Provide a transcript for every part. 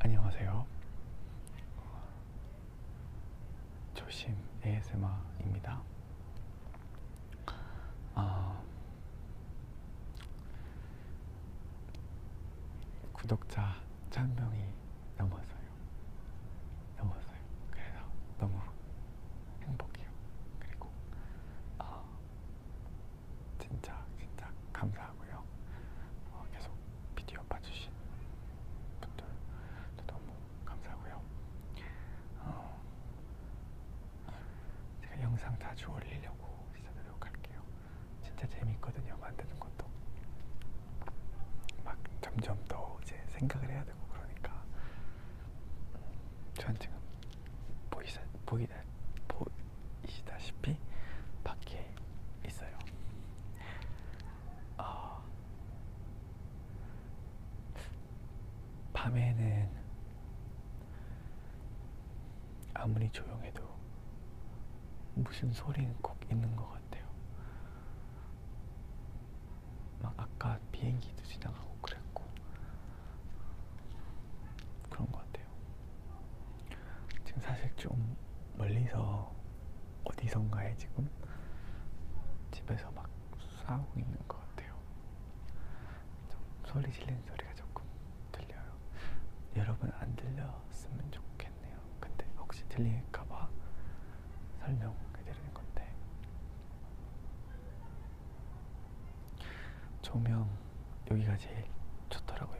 안녕하세요. 조심 ASMR입니다. 아, 구독자 1000명이 넘었어요. 넘었어요. 그래서 너무 행복해요. 그리고 아, 진짜 진짜 감사하고요. 어, 계속 비디오 봐주신 분들도 너무 감사하고요. 어, 제가 영상 자주 올리려고 진짜 노력할게요. 진짜 재밌거든요. 만드는 것도 막 점점 더 이제 생각을 해야 되고 그러니까 전 음, 지금 보이시, 보이다, 보이시다시피 밖에 있어요. 어, 밤에는 아무리 조용해도 무슨 소리는 꼭 있는 것 같아요. 막 아까 비행기도 지나가고 그랬고 그런 것 같아요. 지금 사실 좀 멀리서 어디선가에 지금 집에서 막 싸우고 있는 것 같아요. 좀 소리 질리는 소리가 조금 들려요. 여러분 안 들렸으면 좋겠네요. 근데 혹시 들릴까봐 설명해드리는 건데 조명 여기가 제일 좋더라고요.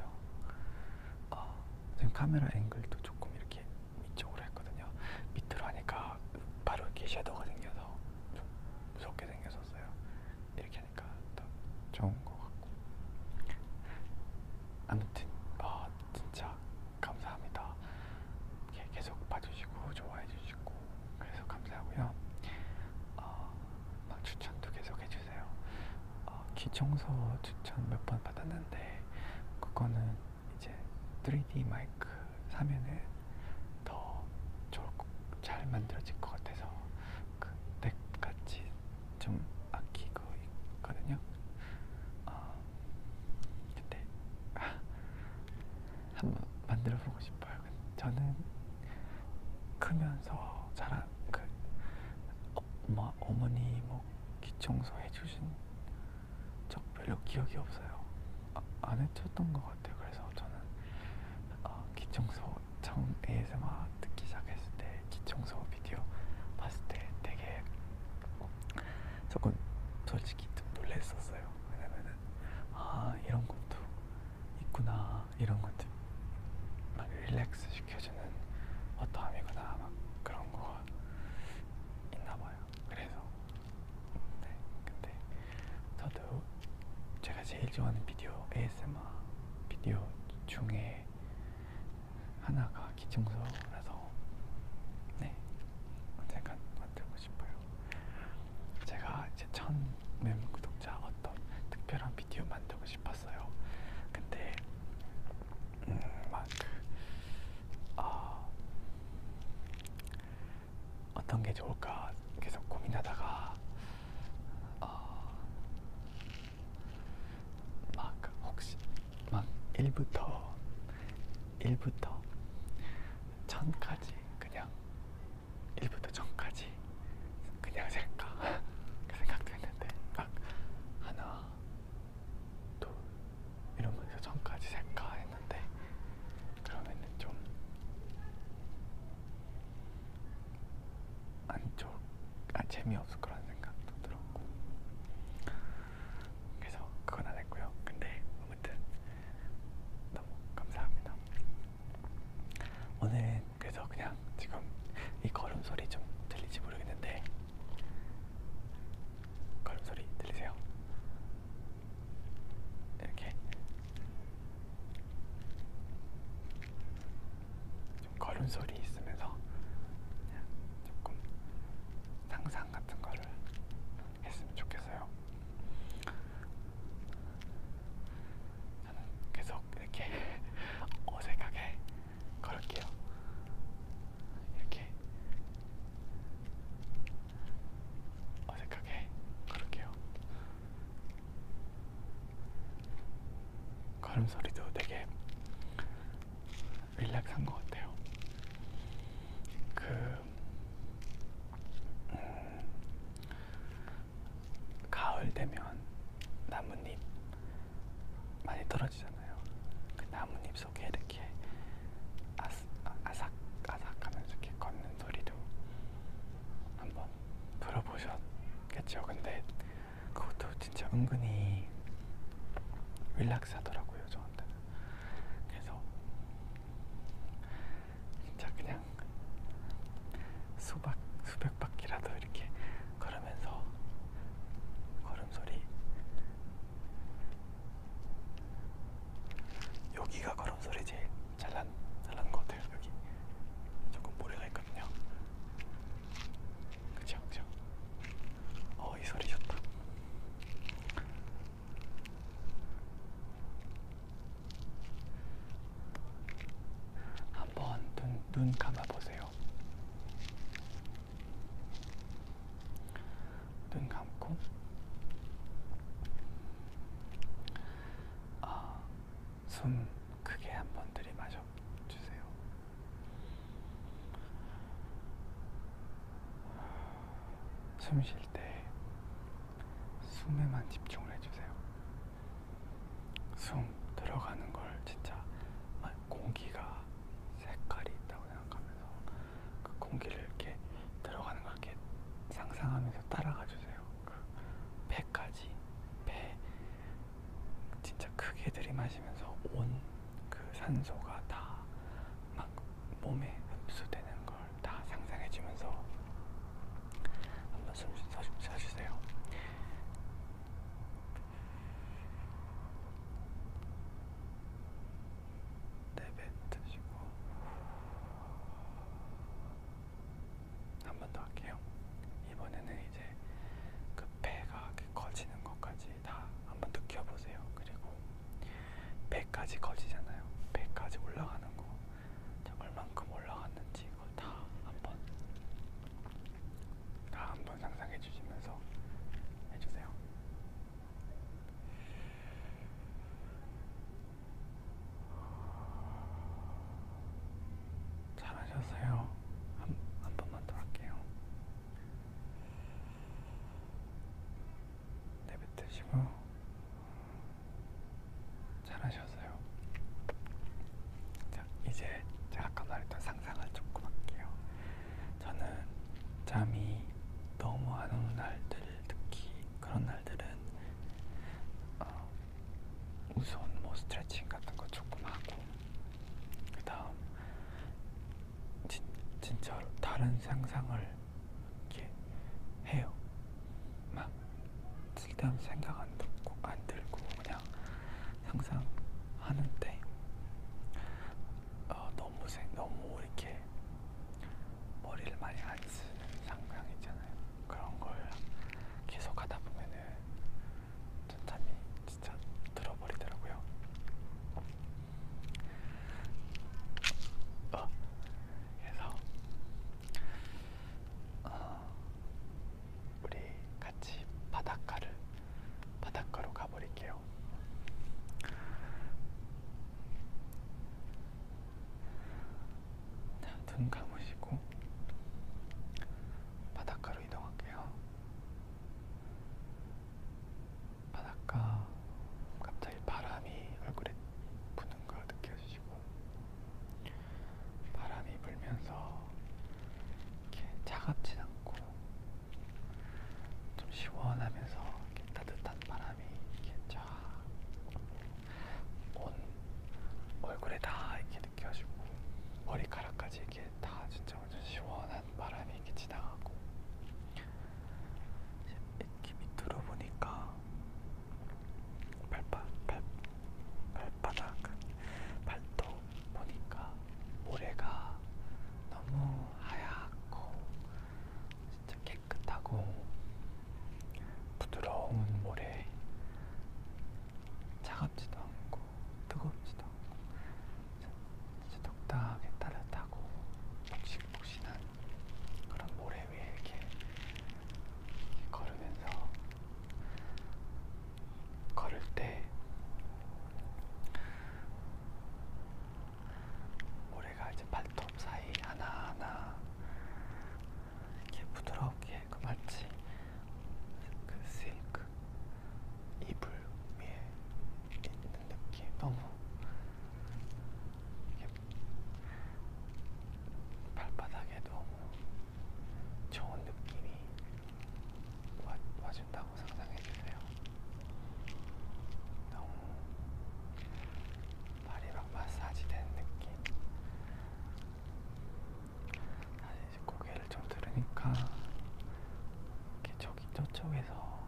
어, 지금 카메라 앵글도 조금 이렇게 위쪽으로 했거든요. 밑으로 하니까 바로 이렇게 섀도우가 생겨서 좀 무섭게 생겼었어요. 이렇게 하니까 더 좋은 것 같고. 아무튼 어, 진짜 감사합니다. 계속 봐주시고 좋아해주시고 그래서 감사하고요. 어, 막 추천도 계속 해주세요. 어, 귀청소 추천 몇 번 받았는데 그거는 이제 3D 마이크 사면은 더 좋을 거, 잘 만들어질 것 같아서 그때 같이 좀 아끼고 있거든요. 어, 근데 아, 한번 만들어 보고 싶어요. 저는 크면서 자란 그 엄마 어머니 뭐 기청소 해주신 적 별로 기억이 없어요. 아, 안 해줬던 것 같아요. 그래서 저는 어, 기청소 처음 ASMR 듣기 시작했을 때 기청소 비디오 봤을 때 되게 조금 솔직히 좀 놀랬었어요. 왜냐면은 아 이런 것도 있구나 이런 것들 막 릴렉스 시켜주는 어떠함이구나 막 그런 거가 있나 봐요. 그래서 네 근데 저도 제가 제일 좋아하는 비디오 ASMR 비디오 중에 하나가 기청소라서 네 언젠간 만들고 싶어요. 제가 이제 천멤 구독자 어떤 특별한 비디오 만들고 싶었어요. 근데 음, 막그 어, 아, 어떤 게 좋을까 계속 고민하다가 어, 막 혹시 막 1부터 1부터 1000까지 그냥 1부터 전까지 그냥 셀까 그 생각도 했는데 막 하나 또 이러면서 전까지 셀까 했는데 그러면은 좀 안쪽 아 재미없을 거라는 생각도 들었고 그래서 그건 안 했고요. 근데 아무튼 너무 감사합니다. 오늘은 그래서 그냥 지금 이 걸음소리 좀 들리지 모르겠는데 걸음소리 들리세요? 이렇게 좀 걸음소리 있으면서 그냥 조금 상상 같은 거를 했으면 좋겠어요. 저는 계속 이렇게 어색하게 걸을게요. 이렇게 어색하게 걸을게요. 걸음 소리도 되게 릴렉스한 것 같아요. 그 음, 가을 되면 나뭇잎 많이 떨어지잖아요. 그 나뭇잎 속에 이렇게 아스, 아삭 아삭하면서 이렇게 걷는 소리도 한번 들어보셨겠죠. 근데 그것도 진짜 은근히 릴락스하더라고요 저한테는. 그래서 진짜 그냥 수박 수백 바퀴라도 이렇게 걸으면서 걸음소리 여기가 걸음소리 제일 잘난 잘난 것 같아요 여기 조금 모래가 있거든요 그쵸 그쵸 어이 소리 좋다 한번 눈, 눈 감아보세요. 눈 감고 아, 숨 크게 한 번 들이마셔 주세요. 숨쉴때 숨에만 집중을 해주세요. 숨 들어가는 걸 진짜 아, 공기가 색깔이 있다고 생각하면서 그 공기를 이렇게 들어가는 걸 이렇게 상상하면서 따라가 주세요. 그 배까지 배 진짜 크게 들이마시면서 온 그 산소가 다막 몸에 흡수되는 걸 다 상상해주면서 한번 숨 쉬세요. 내뱉으시고 네, 한번 더 할게요. 이번에는 이제 그 배가 커지는 것까지 다 한번 느껴보세요. 그리고 100까지 거지잖아요. 100까지 올라가는 거. 얼만큼 올라갔는지 그걸 다 한번 다 한번 상상해 주시면서 해주세요. 잘하셨어요. 한, 한 번만 더 할게요. 내뱉으시고 잘하셨어요. 자, 이제 제가 아까 말했던 상상을 조금 할게요. 저는 잠이 너무 안 오는 날들, 특히 그런 날들은 어, 우선 뭐 스트레칭 같은 거 조금 하고 그 다음 진짜 다른 상상을 이렇게 해요. 막 쓸데없는 생각 안 들고, 안 들고 그냥 항상 하는데 어, 너무 생, 너무 이렇게 머리를 많이 안 쓰는 상황 있잖아요. 그런 걸 계속 하다 보면은 잠이 진짜 들어버리더라고요. 어, 그래서 어, 우리 같이 바닷가를 바닷가로 가버릴게요. 자, 눈 감으시고 바닷가로 이동할게요. 바닷가 갑자기 바람이 얼굴에 부는 거 느껴지시고 바람이 불면서 이렇게 차갑지 않고 좀 시원하면서 이렇게 따뜻한 바람이 이렇게 쫙 온 얼굴에 다 이렇게 느껴지고 머리카락까지 이렇게 다 진짜 완전 시원한 바람이 이렇게 지나가고 이렇게 밑으로 보니까 발바, 발, 발바닥, 발톱 보니까 모래가 너무 하얗고 진짜 깨끗하고 부드러운 음. 모래 차갑지도 않고 뜨겁지도 않고 진짜 독특하게 따뜻하고 폭신폭신한 그런 모래 위에 이렇게, 이렇게 걸으면서 걸을 때 모래가 이제 발톱 사이 하나하나 이렇게 부드럽게 그 마치 그 실크 이불 위에 있는 느낌 너무 발바닥에 너무 좋은 느낌이 와, 와준다고 상상해주세요. 너무 발이 막 마사지된 느낌. 다시 이제 고개를 좀 들으니까 이렇게 저기 저쪽에서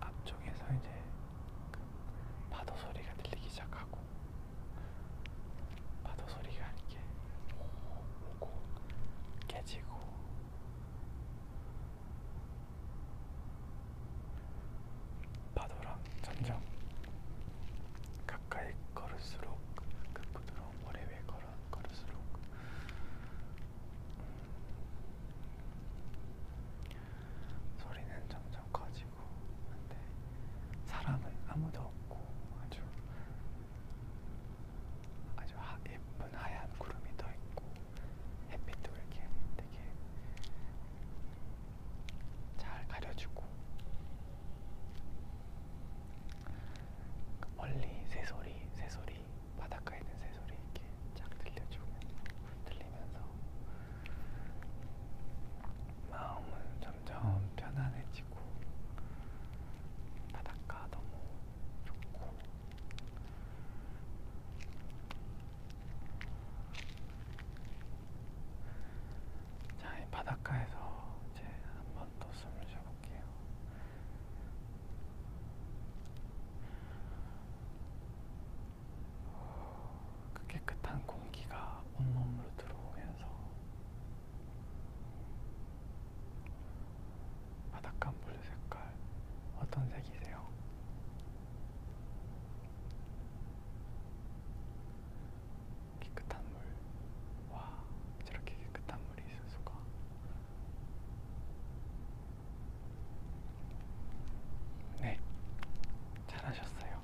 앞 저쪽에서 이제 그 파도 소리가 들리기 시작하고 파도 소리가 이렇게 오고 깨지고 파도랑 점점 가까이 걸을수록 그 부드러운 모래 위에 걸어 걸을수록 음, 소리는 점점 커지고 근데 사람은 아무도 없고 아주 아주 하, 예쁜 하얀 구름이 떠 있고 햇빛도 이렇게 되게 잘 가려주고 멀리 새소리 새소리 바닷가에 있는 새소리 이렇게 쫙 들려주면서 들리면서 마음은 점점 편안해지고 바닷가 너무 좋고 자, 이 바닷가에서 이제 한번또 숨을 쉬어볼게요. 그 깨끗한 공기가 온몸으로 들어오면서 바닷가 물 색깔 어떤 색이세요? 깨끗한 물. 와, 저렇게 깨끗한 물이 있을 수가. 네, 잘하셨어요.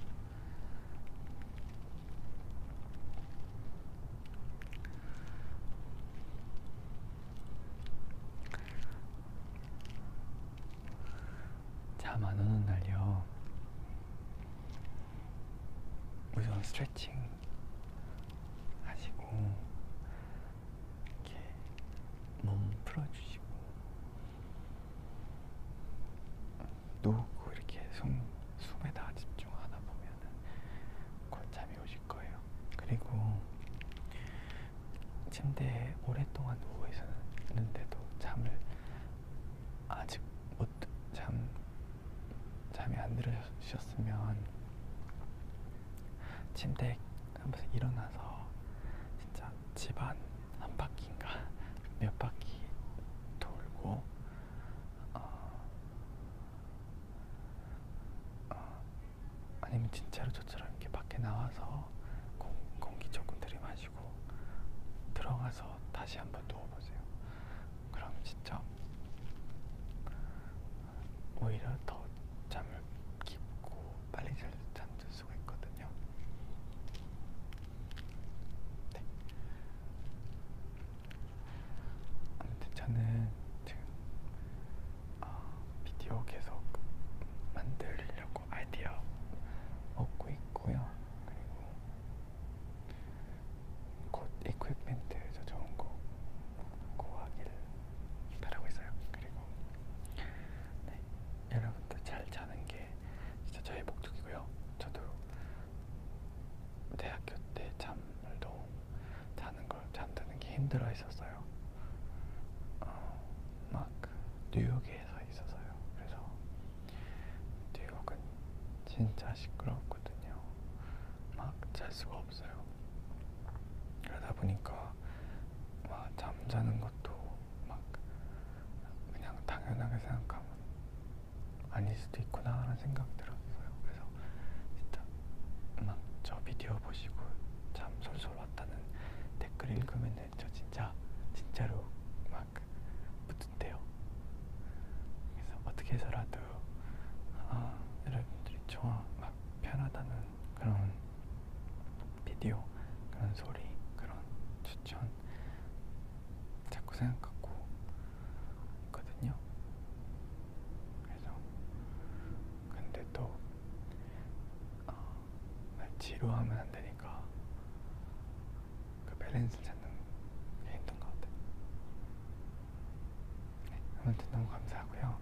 잠 안 오는 날요. 우선 스트레칭 하시고 이렇게 몸 풀어주시고 누우고 이렇게 숨, 숨에다 집중하다 보면은 곧 잠이 오실 거예요. 그리고 침대에 오랫동안 누워 있었는데도 잠을 아직 못 잠 잠이 안 들으셨으면 침대에 한번씩 일어나서 진짜 집안 한 바퀴인가 몇 바퀴 돌고 어, 어, 아니면 진짜로 저처럼 이렇게 밖에 나와서 공, 공기 조금 들이마시고 들어가서 다시 한번 누워보세요. 그럼 진짜 오히려 더 잠을 깊고 빨리 잘 잠들 수가 있거든요. 네. 아무튼 저는 지금 어, 비디오 계속 만들려고 아이디어 얻고 있고요. 그리고 곧 이퀴프멘트 저 좋은 거 구하기를 바라고 있어요. 그리고 네, 여러분들 잘 자는 게 진짜 저의 목적이고요. 저도 대학교 때 잠을 너무 자는 걸 잠드는 게 힘들어 했었어요. 어, 막 뉴욕에서 있어서요. 그래서 뉴욕은 진짜 시끄럽거든요. 막잘 수가 없어요. 그러다 보니까 막 잠자는 것도 막 그냥 당연하게 생각하면 아닐 수도 있구나라는 생각 들었어요. 그래서 진짜 막저 비디오 보시고 잠 솔솔 왔다는 댓글 읽으면 저 진짜 진짜로 막 뿌듯해요. 그래서 어떻게 해서라도 아, 여러분들이 저와 막 편하다는 그런 비디오, 그런 소리, 그런 추천 자꾸 생각하고 있거든요. 그래서 근데 또 어, 지루하면 안 되니까 그 밸런스 찾는 게 힘든 것 같아요. 네, 오늘도 너무 감사하고요.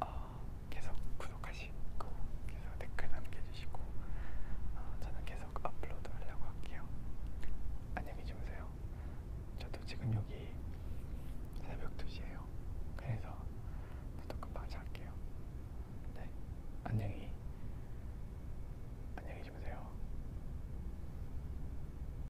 어, 계속 구독하시고 계속 댓글 남겨주시고 어, 저는 계속 업로드 하려고 할게요. 안녕히 주무세요. 저도 지금 여기 새벽 2시에요. 그래서 저도 금방 잘게요. 네, 안녕히 안녕히 주무세요.